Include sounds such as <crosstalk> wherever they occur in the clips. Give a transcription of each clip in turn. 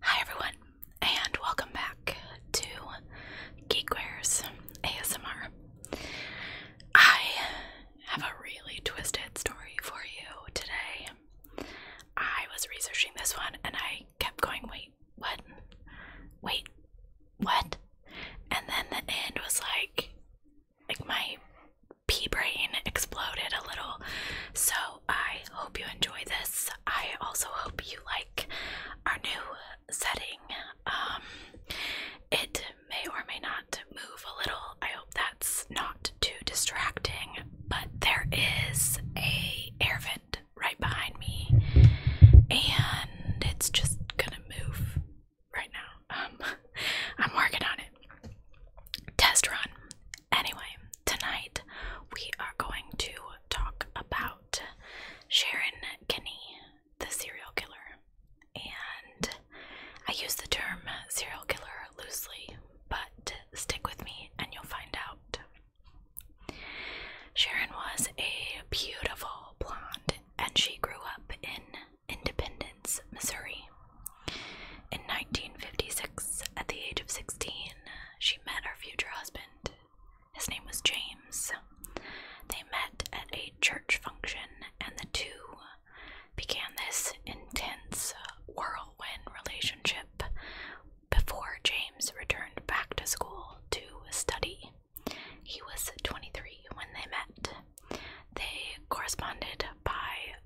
Hi everyone, and welcome back to Geekwares ASMR. I have a really twisted story for you today. I was researching this one and I kept going, wait, what? Wait, what? And then the end was like, like my p brain exploded a little. So I hope you enjoy this. I also hope you like our new setting. Um, it may or may not move a little. I hope that's not too distracting. But there is a air vent right behind me, and it's just gonna move right now. Um, <laughs> I'm working on it. Test run Anyway, tonight we are going to talk about Sharon Kinney, the serial killer. And I use the term serial killer loosely, but stick with me and you'll find out. Sharon was a beautiful blonde and she grew up in Independence, Missouri. In 1956, at the age of 16, she met her future husband. His name was James. They met at a church function, and the two began this intense whirlwind relationship before James returned back to school to study. He was 23 when they met. They corresponded by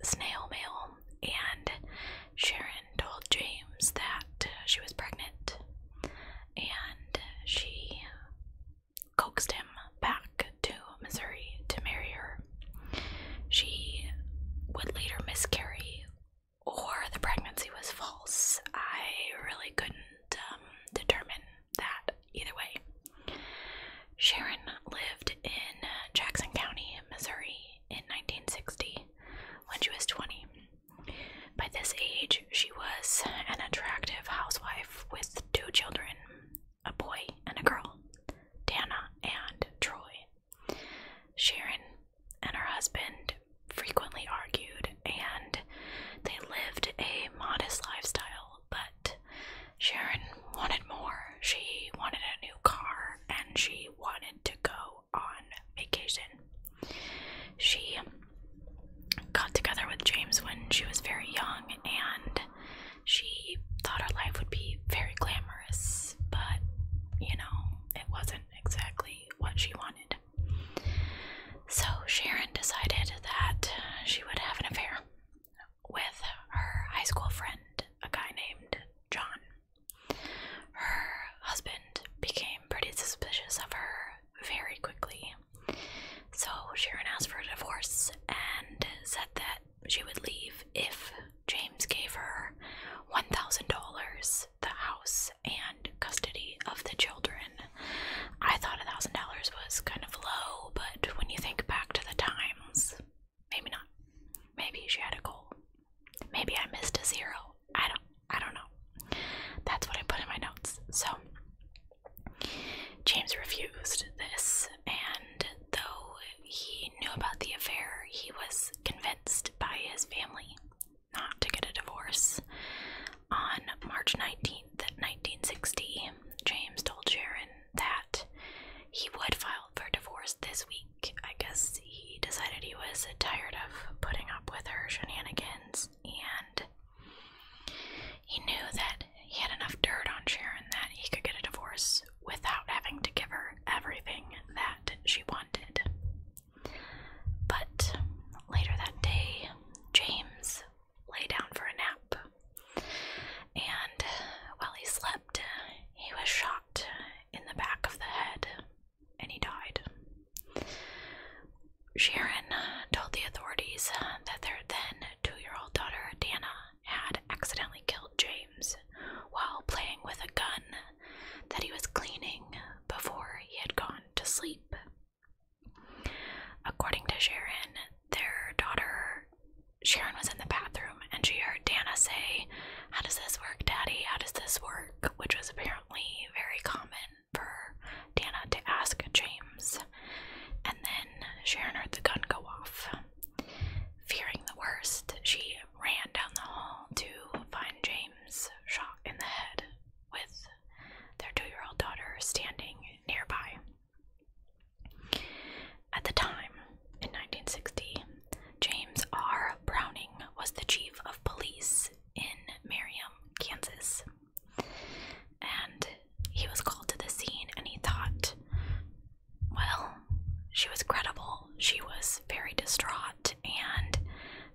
snail mail, and Sharon told James that she was pregnant, and she coaxed him back to Missouri to marry her. She would later miscarry, or the pregnancy was false. I really couldn't um, determine that either way. Sharon lived in Jackson County, Missouri, in 1960 when she was 20. By this age, she was an attractive housewife with two children a boy and a girl, Dana and Troy. Sharon and her husband frequently argued, and they lived a modest lifestyle, but Sharon wanted more. She wanted a new car and she wanted to go on vacation. She got together with James when she was very young and she thought her life would be very glamorous, but you know, it wasn't exactly what she wanted. So Sharon decided that she would have an affair with her high school friend, a guy named John. Her husband became pretty suspicious of her very quickly, so Sharon asked for a divorce and said that she would leave if James gave her $1,000, the house, and custody of the children. I thought $1,000 was kind of low, but when you think back to the times, Maybe not. Maybe she had a goal. Maybe I missed a zero. I don't I don't know. That's what I put in my notes. So James refused this and though he knew about the affair, he was convinced by his family not to get a divorce. On March 19th, 1960, James told Sharon that he would file for divorce this week. I guess he decided he was tired of putting up with her shenanigans and he knew that he had enough dirt on Sharon that he could get a divorce without having to give her everything that she wanted. But later that day, James lay down for a nap and while he slept, he was shot in the back of the head and he died. Sharon told the authorities uh, that their then two year old daughter, Dana, had accidentally killed James while playing with a gun that he was cleaning before he had gone to sleep. According to Sharon, their daughter Sharon was in the bathroom and she heard Dana say, How does this work, Daddy? How does this work? Which was apparently very common for Dana to ask James. And then Sharon heard the gun go off. Fearing the worst, she ran down the hall to find James shot in the head with their two year old daughter standing nearby. At the time, in 1960, James R. Browning was the chief of police in Merriam, Kansas. And he was called to the scene and he thought, well, she was credible. She was very distraught and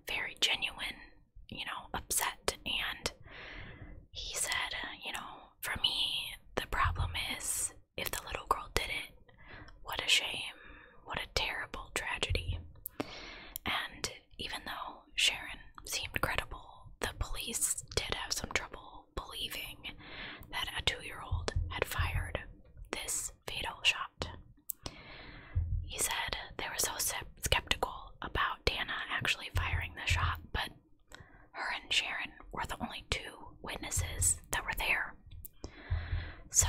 very genuine, you know, upset. And he said, you know, for me, the problem is if the little girl didn't, what a shame, what a terrible tragedy. And even though Sharon seemed credible, the police did have some trouble believing that a two year old had fired this fatal shot. He said they were so skeptical about Dana actually firing the shot, but her and Sharon were the only two witnesses that were there. So,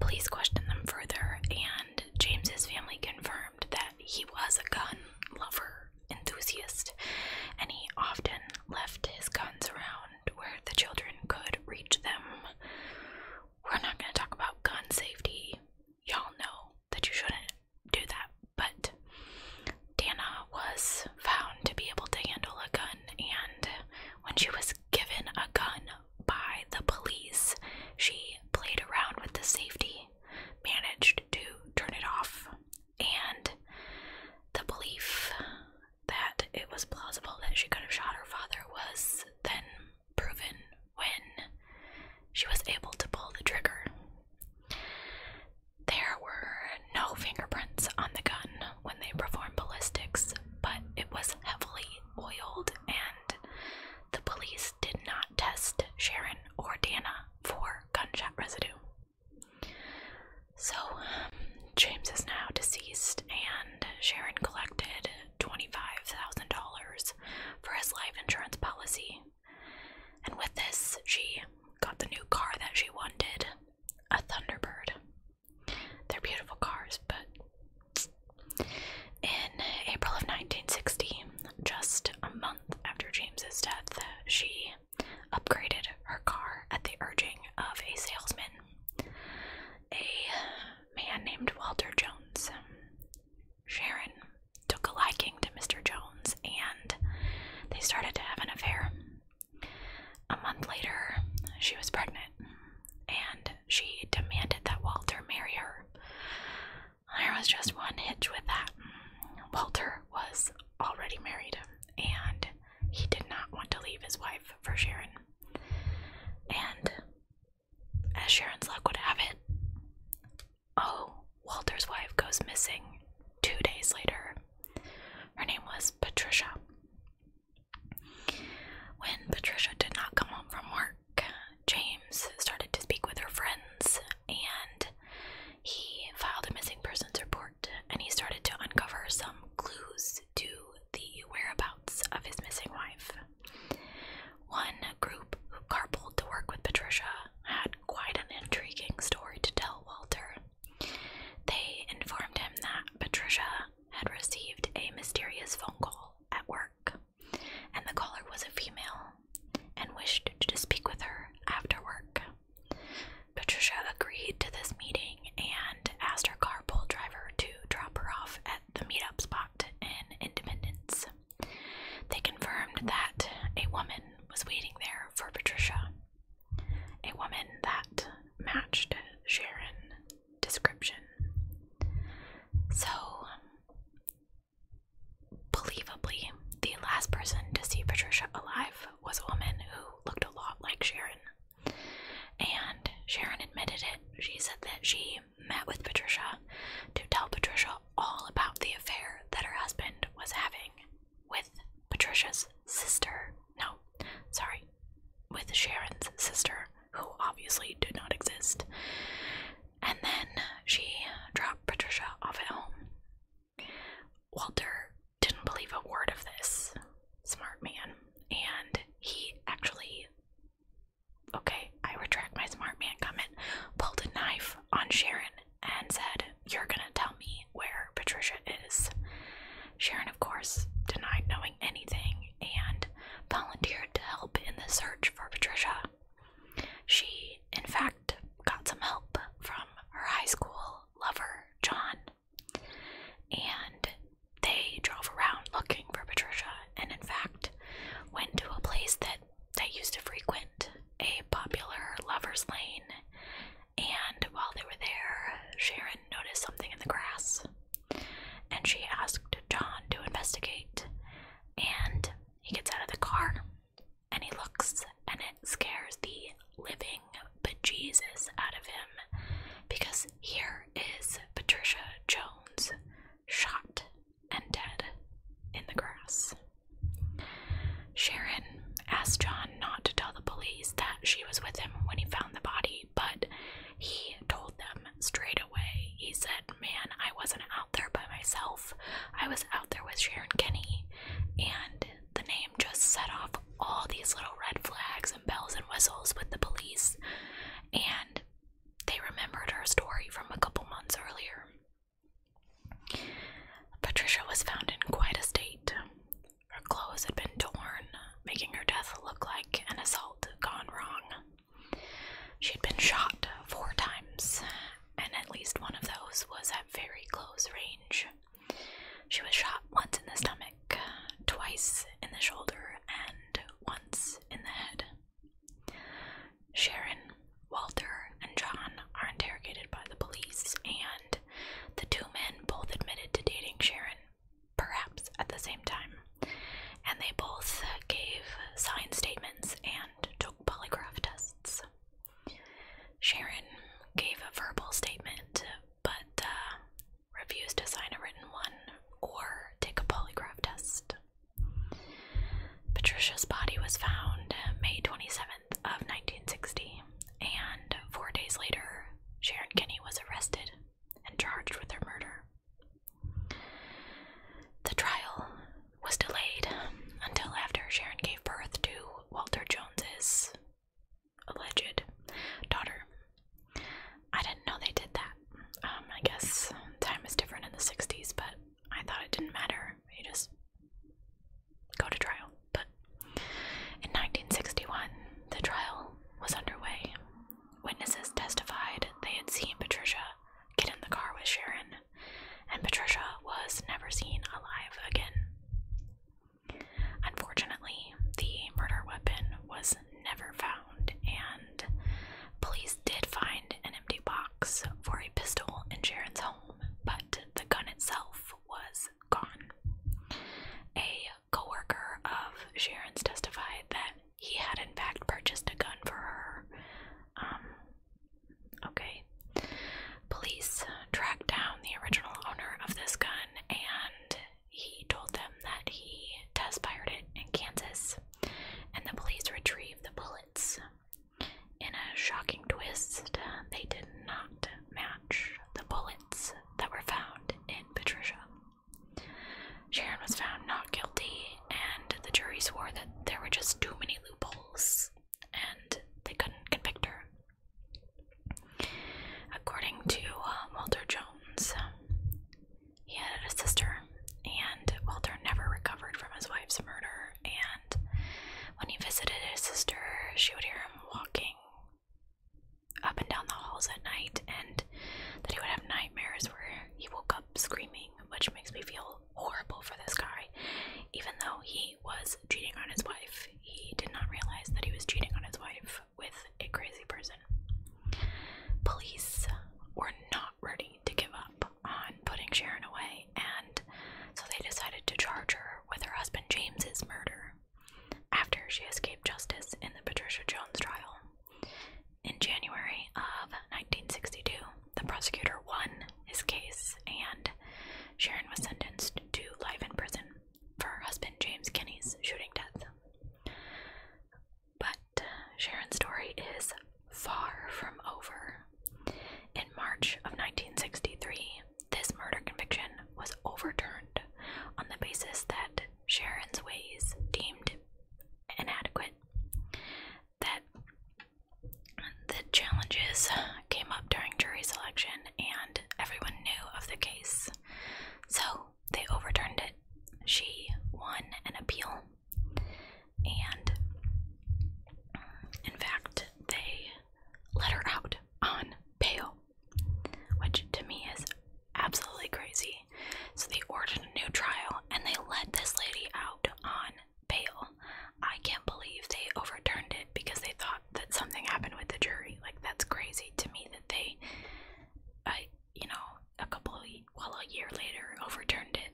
police questioned them further, and James's family confirmed that he was a gun lover enthusiast, and he often left his guns around where the children could reach them. We're not going to talk about gun safety. Y'all know that you shouldn't do that, but Dana was found to be able to handle a gun, and when she was given a gun by the police, she played around with the safety, managed to turn it off, and the belief that it was plausible that she could have shot her father was then proven when she was able to pull the trigger. There were no fingerprints on the gun when they performed ballistics, but it was heavily oiled, and the police did not test Sharon or Dana for gunshot residue. So, um, James is now deceased, and Sharon collected $25,000 for his life insurance policy. And with this, she got the new car that she wanted, a Thunderbird. They're beautiful cars, but in April of 1960, just a month after James's death, she upgraded her car at the urging of a salesman, a man named Walter Jones. Sharon took a liking to Mr. Jones and they started to have an affair. A month later, she was pregnant, and she demanded that Walter marry her. There was just one hitch with that. Walter was already married, and he did not want to leave his wife for Sharon. And as Sharon's luck would have it, oh, Walter's wife goes missing two days later her name was Patricia. When Patricia did not come home from work, James started to speak with her friends and he filed a missing persons report and he started to uncover some clues to the whereabouts of his missing wife. One group who carpooled to work with Patricia had quite an intriguing story to tell Walter they informed him that Patricia had received a mysterious phone call at work, and the caller was a female and wished to speak with her after work. Patricia agreed to this meeting and asked her carpool driver to drop her off at the meetup spot in Independence. They confirmed that a woman was waiting there for Patricia a woman that matched Sharon description. So believably, the last person to see Patricia alive was a woman who looked a lot like Sharon. And Sharon admitted it. She said that she met with Patricia to tell Patricia all about the affair that her husband was having with Patricia's sister. No, sorry, with Sharon's sister, who obviously did not exist. And then she dropped Patricia off at home. Walter didn't believe a word of this, smart man, and he actually. Okay, I retract my smart man comment. Pulled a knife on Sharon and said, You're gonna tell me where Patricia is. Sharon, of course, denied knowing anything and volunteered to help in the search for Patricia. She, in fact, got some help from her high school lover, John, and they drove around looking for Patricia and, in fact, went to a place that they used to frequent a popular lover's lane, and while they were there, Sharon noticed something in the grass. And she asked John to investigate. And he gets out of the car and he looks, and it scares the living bejesus out of him because here is Patricia Jones shot and dead in the grass. Sharon asked John not to tell the police that she was with him when he found the body, but he told them straight away. He said, Man, I wasn't out there by myself. I was out there with Sharon Kinney. And the name just set off all these little red flags and bells and whistles with the police. And they remembered her story from a couple months earlier. Patricia was found in quite a state. Her clothes had been torn, making her death look like an assault gone wrong. She had been shot four times, and at least one of those was at very close range. She was shot once in the stomach, twice in the shoulder, and once in the head. Sharon Walter and John are interrogated by the police, and the two men both admitted to dating Sharon, perhaps at the same time. And they both gave signed statements and took polygraph tests. Sharon gave a verbal statement but uh, refused to sign a written one or take a polygraph test. Patricia's body was found May 27, of 1960, and four days later, Sharon Kinney was arrested and charged with her murder. The trial was delayed until after Sharon gave birth to Walter Jones's alleged daughter. I didn't know they did that. Um, I guess time is different in the 60s, but I thought it didn't matter. You just go to trial. But in 1961, the trial was underway. Witnesses testified they had seen Patricia get in the car with Sharon, and Patricia was never seen alive again. Unfortunately, the murder weapon was never found, and police did find an empty box for a pistol in Sharon's home but the gun itself was gone. A co-worker of Sharon's testified that he had in fact purchased a gun for her. Um, okay. Police tracked down the original owner of this gun and he told them that he test fired it in Kansas and the police retrieved the bullets in a shocking twist, they did not match the bullets that were found in Patricia. Sharon was found not guilty, and the jury swore that there were just too many loopholes and they couldn't convict her. According to uh, Walter Jones, he had a sister, and Walter never recovered from his wife's murder and when he visited his sister, she would hear him walking up and down the halls at night, and that he would have nightmares where he woke up screaming, which makes me feel horrible for this guy. Even though he was cheating on his wife, he did not realize that he was cheating on his wife with a crazy person. Police were not ready to give up on putting Sharon away, and so they decided to charge her with her husband James's murder after she escaped justice in the Patricia Jones trial. In January of 1962, the prosecutor won his case, and Sharon was sentenced to life in prison for her husband James Kinney's shooting death. But Sharon's story is far from over. In March of 1963, this murder conviction was overturned on the basis that Sharon's ways deemed inadequate. That the challenges came up during jury selection and everyone knew of the case. So they overturned it. She won an appeal and in fact, they let her out on bail, which to me is absolutely crazy. So they ordered a new trial and they let this lady out on bail. I can't believe they overturned it because they thought that something happened with the jury. Like that's crazy to me that they, I, uh, you know, a couple of, well, a year later overturned it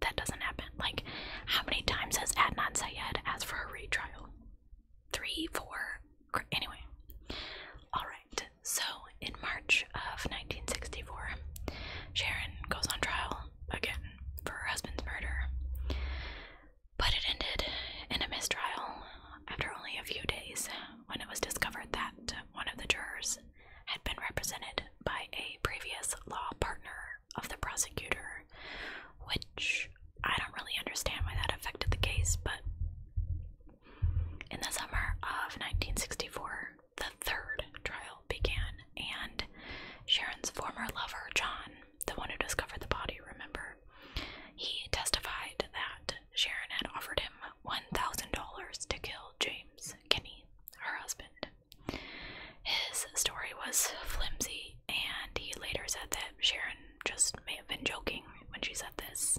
that doesn't happen. Like, how many times has Adnan Syed asked for a retrial? Three, four. Anyway, all right. So in March of 1964, Sharon goes on trial again for her husband's murder, but it ended in a mistrial after only a few days when it was discovered that one of the jurors had been represented by a previous law partner of the prosecutor, which I don't really understand why that affected the case, but in the summer of 1964, the third trial began, and Sharon's former lover, John, the one who discovered the body, remember, he testified that Sharon had offered him $1,000 to kill James Kinney, her husband. His story was flimsy, and he later said that Sharon just may have been joking when she said this.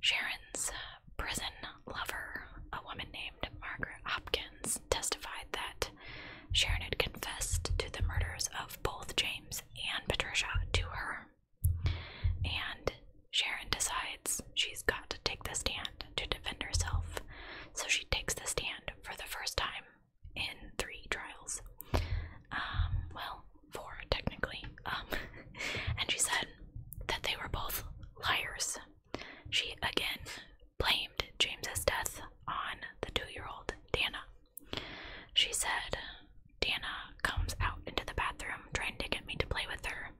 Sharon's prison lover, a woman named Margaret Hopkins, testified that Sharon had confessed to the murders of both James and Patricia to her. And Sharon decides she's got to take the stand to defend herself, so she takes the stand for the first time in three trials. Um, well, four technically. Um, <laughs> and she said that they were both liars. She again blamed James's death on the two-year-old Dana. She said, Dana comes out into the bathroom trying to get me to play with her.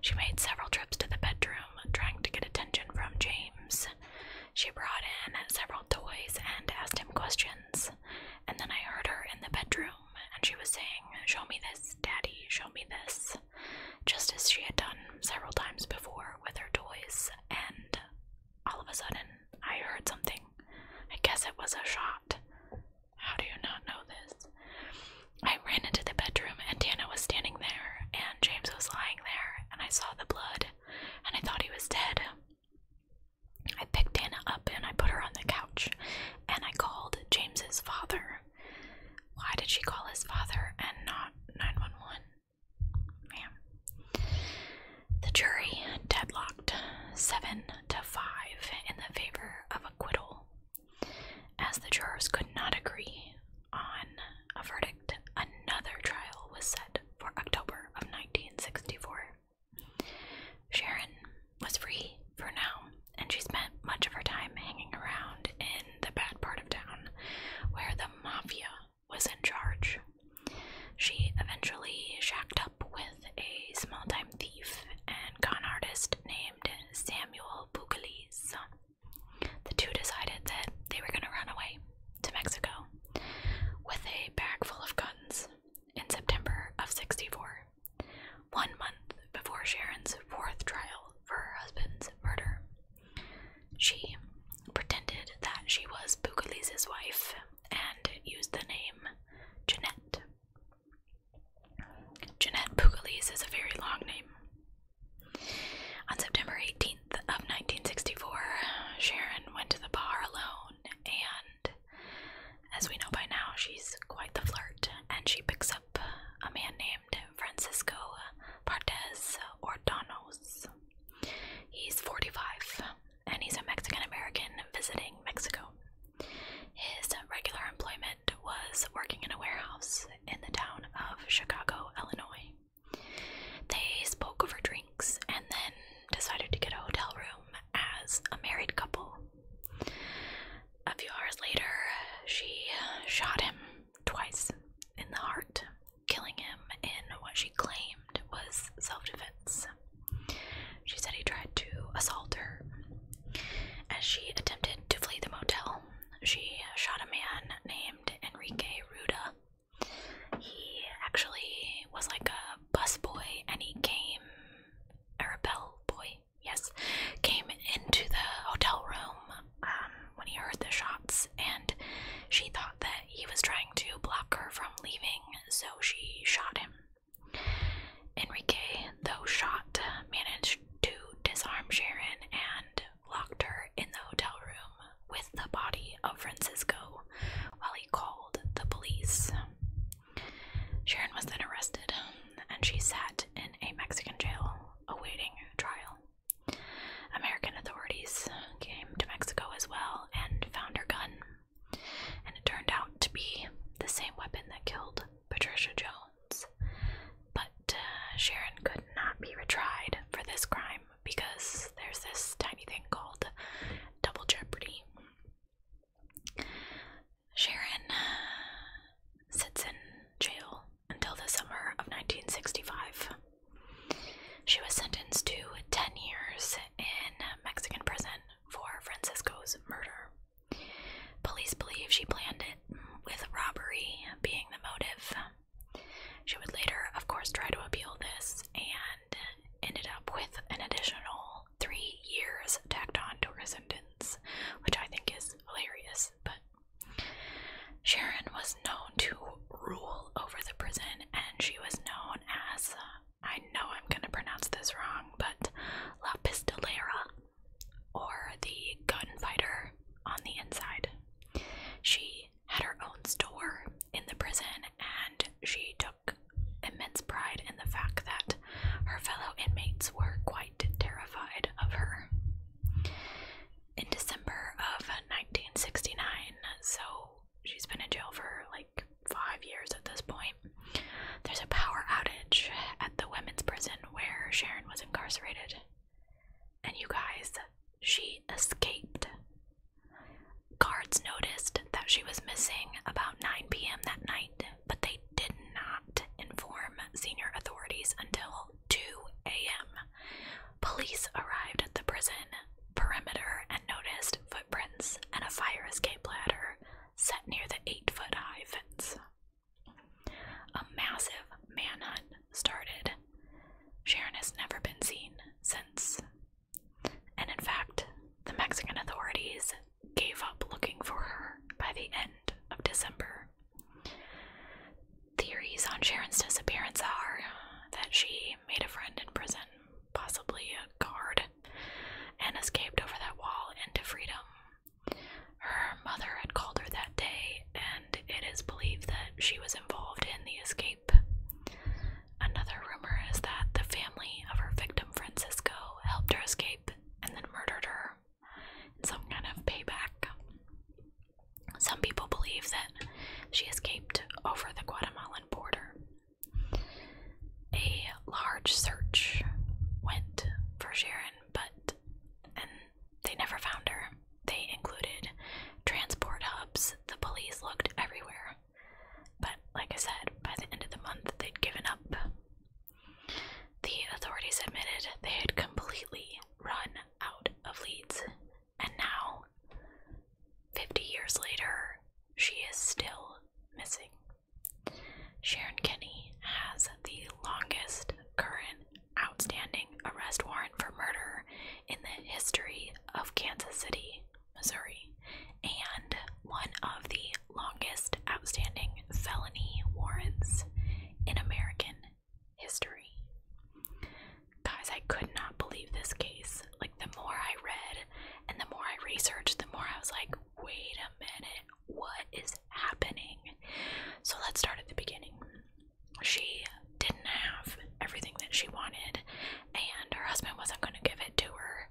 She made several trips to the bedroom, trying to get attention from James. She brought in several toys and asked him questions. And then I heard her in the bedroom, and she was saying, Show me this, Daddy, show me this. Just as she had done several times before with her toys, and all of a sudden I heard something. I guess it was a shot. How do you not know this? I ran into the bedroom and Dana was standing there and James was lying there and I saw the blood and I thought he was dead. I picked Dana up and I put her on the couch and I called James's father. Why did she call his father and not 911? Man. The jury deadlocked 7 to 5 in the favor of acquittal. As the jurors could not agree, on a verdict, another trial was set for October of 1964. Sharon was free for now, and she spent much of her time hanging around in the bad part of town where the mafia was in charge. She eventually shacked up with a small time thief and con artist named Samuel Bougalis. The two decided that they were going to run away to Mexico with a bag full of guns in September of 64, one month before Sharon's fourth trial for her husband's murder. She pretended that she was Bucalise's wife and used the name Jeanette. Jeanette Bucalise is a very long name. On September 18th of 1964, Sharon went to the bar alone and as we know by now, she's quite the flirt and she picks up a man named Francisco Partes Ordonos. He's 45 and he's a Mexican American visiting Mexico. His regular employment was working in a warehouse in the town of Chicago, Illinois. They spoke over drinks and then decided to get a hotel room as a married couple. A few hours later, she shot him twice in the heart, killing him in what she claimed was self defense. She said he tried to assault her. As she attempted to flee the motel, she shot a man named Enrique Ruda. He actually was like a busboy and he came, or a bellboy, yes, came into the hotel room um, when he heard the shots and she thought that he was trying to block her from leaving, so she shot him. Enrique, though shot, managed to disarm Sharon and locked her in the hotel room with the body of Francisco while he called the police. Sharon was then arrested and she sat in a Mexican jail awaiting trial. American authorities came to Mexico as well and found her gun, and it turned out to be the same weapon that killed Patricia Jones. But uh, Sharon could not be retried for this crime because there's this tiny thing called double jeopardy. Sharon uh, sits in jail until the summer of 1965. She was sentenced to 10 years in Mexican prison for Francisco's murder. Police believe she planned it, with robbery being the motive. She would later, of course, try to appeal this and ended up with an additional three years tacked on to her sentence, which I think is hilarious. But Sharon was known to rule over the prison, and she was known as I know I'm gonna pronounce this wrong, but La Pistolera or the gunfighter on the inside. She had her own store in the prison and she took immense pride in the fact that her fellow inmates were quite terrified of her. In December of 1969, so she's been in jail for like five years at this point, there's a power outage the women's prison where Sharon was incarcerated. And you guys, she escaped. Guards noticed that she was missing about 9 p.m. that night, but they did not inform senior authorities until 2 a.m. Police arrived at the prison perimeter and noticed footprints and a fire escape ladder set near the 8 foot high fence. A massive manhunt started. Sharon has never been seen since. And in fact, the Mexican authorities gave up looking for her by the end of December. Theories on Sharon's disappearance are that she made a friend in prison, possibly a guard, and escaped over that wall into freedom. Her mother had called her that day, and it is believed that she was involved in the escape. Another rumor is that the family of her victim, Francisco, helped her escape and then murdered her some kind of payback. Some people believe that she escaped over the Guatemalan border. A large search went for Sharon but and they never found her. They included transport hubs. The police looked everywhere. But like I said, by the end of the month they'd given up. The authorities admitted they had completely run out of leads. And now, 50 years later, she is still missing. Sharon Kinney has the longest current outstanding arrest warrant for murder in the history of Kansas City, Missouri, and one of the longest outstanding felony warrants in American history. Guys, I could not believe this case. Like, the more I read and the more I researched, the more I was like, wait a minute, what is happening? So let's start at the beginning. She didn't have everything that she wanted, and her husband wasn't going to give it to her.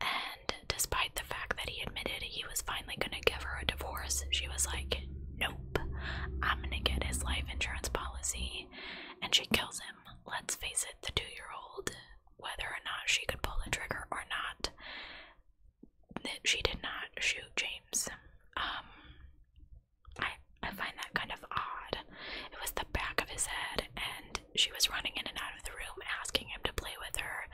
And despite the fact that he admitted he was finally going to give her a divorce, she was like, Nope, I'm going to get his life insurance policy. And she kills him. Let's face it, the two year old, whether or not she could pull the trigger or not, that she did not shoot James. Um, I I find that kind of odd. It was the back of his head, and she was running in and out of the room asking him to play with her,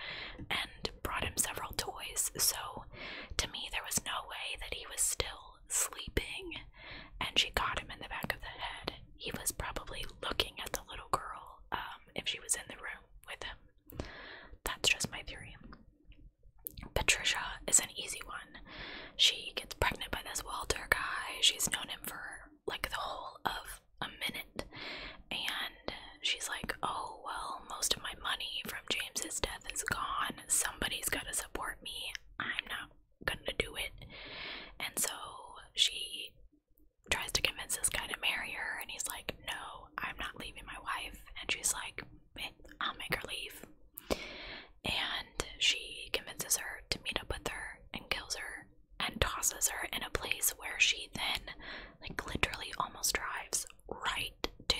and brought him several toys. So, to me, there was no way that he was still sleeping, and she got him in the back of the head. He was probably looking at the little girl um, if she was in the room with him. That's just my theory. Patricia is an easy one. She gets pregnant by this Walter guy. She's known him for like the whole of a minute. And she's like, oh, well, most of my money from James's death is gone. Somebody's got to support me. I'm not gonna do it. And so she tries to convince this guy to marry her, and he's like, No, I'm not leaving my wife. And she's like, I'll make her leave. And she convinces her to meet up with her and kills her and tosses her in a place where she then, like, literally almost drives right to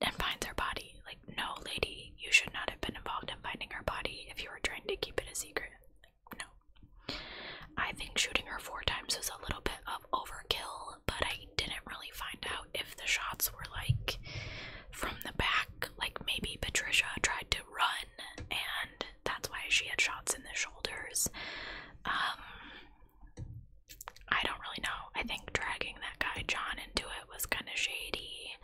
and finds her body. Like, no, lady, you should not have been involved in finding her body if you were trying to keep it a secret. No. I think shooting her four times was a little bit of overkill, but I didn't really find out if the shots were like from the back, like maybe Patricia tried to run and that's why she had shots in the shoulders. Um, I don't really know. I think dragging that guy John into it was kind of shady,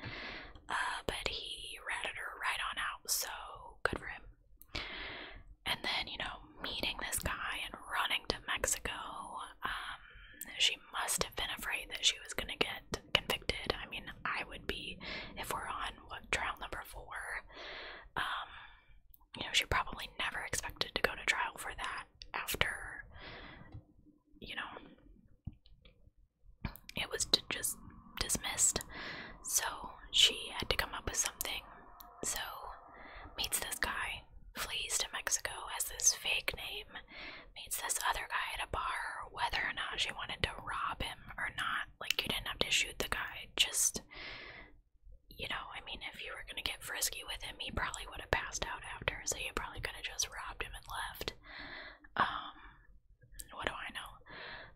uh, but he ratted her right on out, so good for him. And then, you know, meeting this guy and running to Mexico. Um, she must have been afraid that she was gonna get convicted. I mean, I would be if we're on what trial number four. Um, you know, she probably never expected to go to trial for that after, you know, it was just dismissed. So she had to come up with something so, meets this guy, flees to Mexico, has this fake name, meets this other guy at a bar, whether or not she wanted to rob him or not. Like, you didn't have to shoot the guy, just, you know, I mean, if you were gonna get frisky with him, he probably would have passed out after, so you probably could have just robbed him and left. Um, what do I know?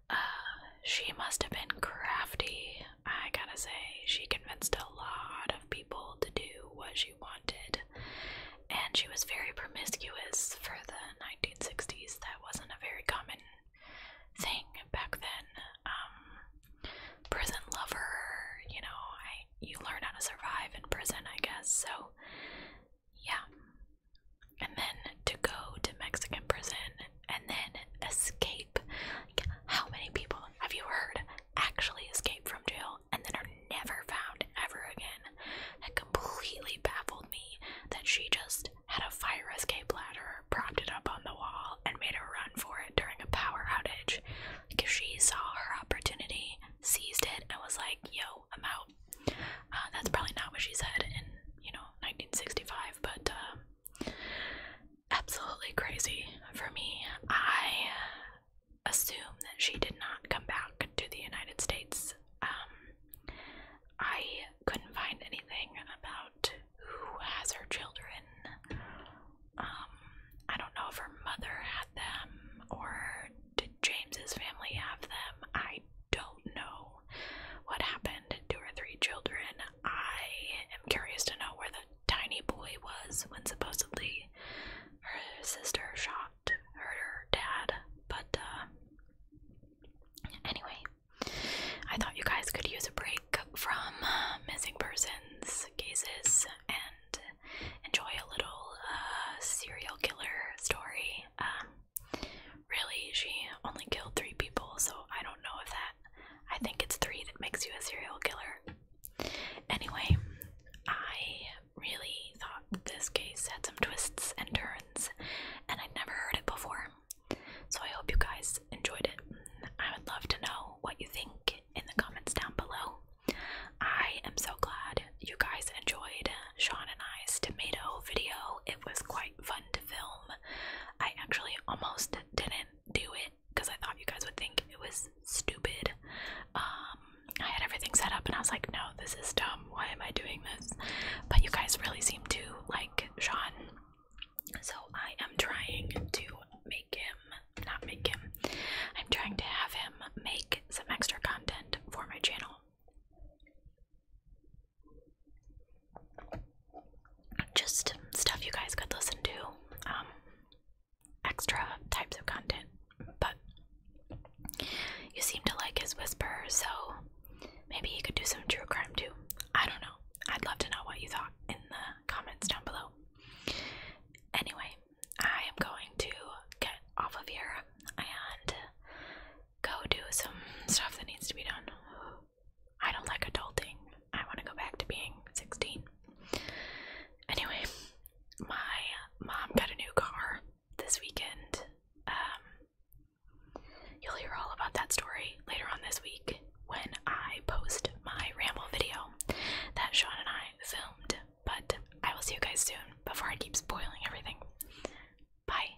Uh, she must have been crafty I gotta say, she convinced a lot of people to do what she wanted, and she was very promiscuous for the 1960s. That wasn't a very common thing back then. Um, prison lover, you know, you learn how to survive in prison, I guess. So, yeah. And then to go to Mexican prison and then escape. how many people have you heard actually escape from jail and then are never found ever again? That completely baffled me that she just had a fire escape ladder, propped it up on the wall, and made a run for it during a power outage. Like, she saw her opportunity, seized it, and was like, yo, I'm out. Uh, that's probably not what she said in, you know, 1965, but, um, absolutely crazy for me. I assume that she did not come back to the United States. Um, I couldn't find anything about who has her children. Um, I don't know if her mother had them or did James's family have them. I don't know what happened to her three children. I am curious to know where the tiny boy was when supposedly her sister shot her dad. But uh, anyway, I thought you guys could use a break from uh, missing persons cases and enjoy a little uh, serial killer story. Um, really, she only killed three people, so I don't know if that I think it's three that makes you a serial killer. Anyway, I really thought this case had some twists and turns, and I'd never heard it before. So I hope you guys enjoyed it. I would love to know what you think in the comments down below. I am so glad you guys enjoyed Sean and I's tomato video. It was quite fun to film. I actually almost didn't do it because I thought you guys would think it was stupid. Um, I had everything set up and I was like, no, this is dumb. Why am I doing this? But you guys really seem to like Sean. So I am trying to make him, not make him, I'm trying to have him make some extra content for my channel just stuff you guys could listen to, um, extra types of content. But you seem to like his whisper, so maybe he could do some true crime too. I don't know. I'd love to know what you thought in the comments down below. Anyway, I am going to get off of here and go do some stuff that needs to be done. I don't like adulting. I want to go back to being 16. Anyway, my mom got a new car this weekend. Um, you'll hear all about that story later on this week when I post my ramble video that Sean and I filmed. But I will see you guys soon before I keep spoiling everything. Bye.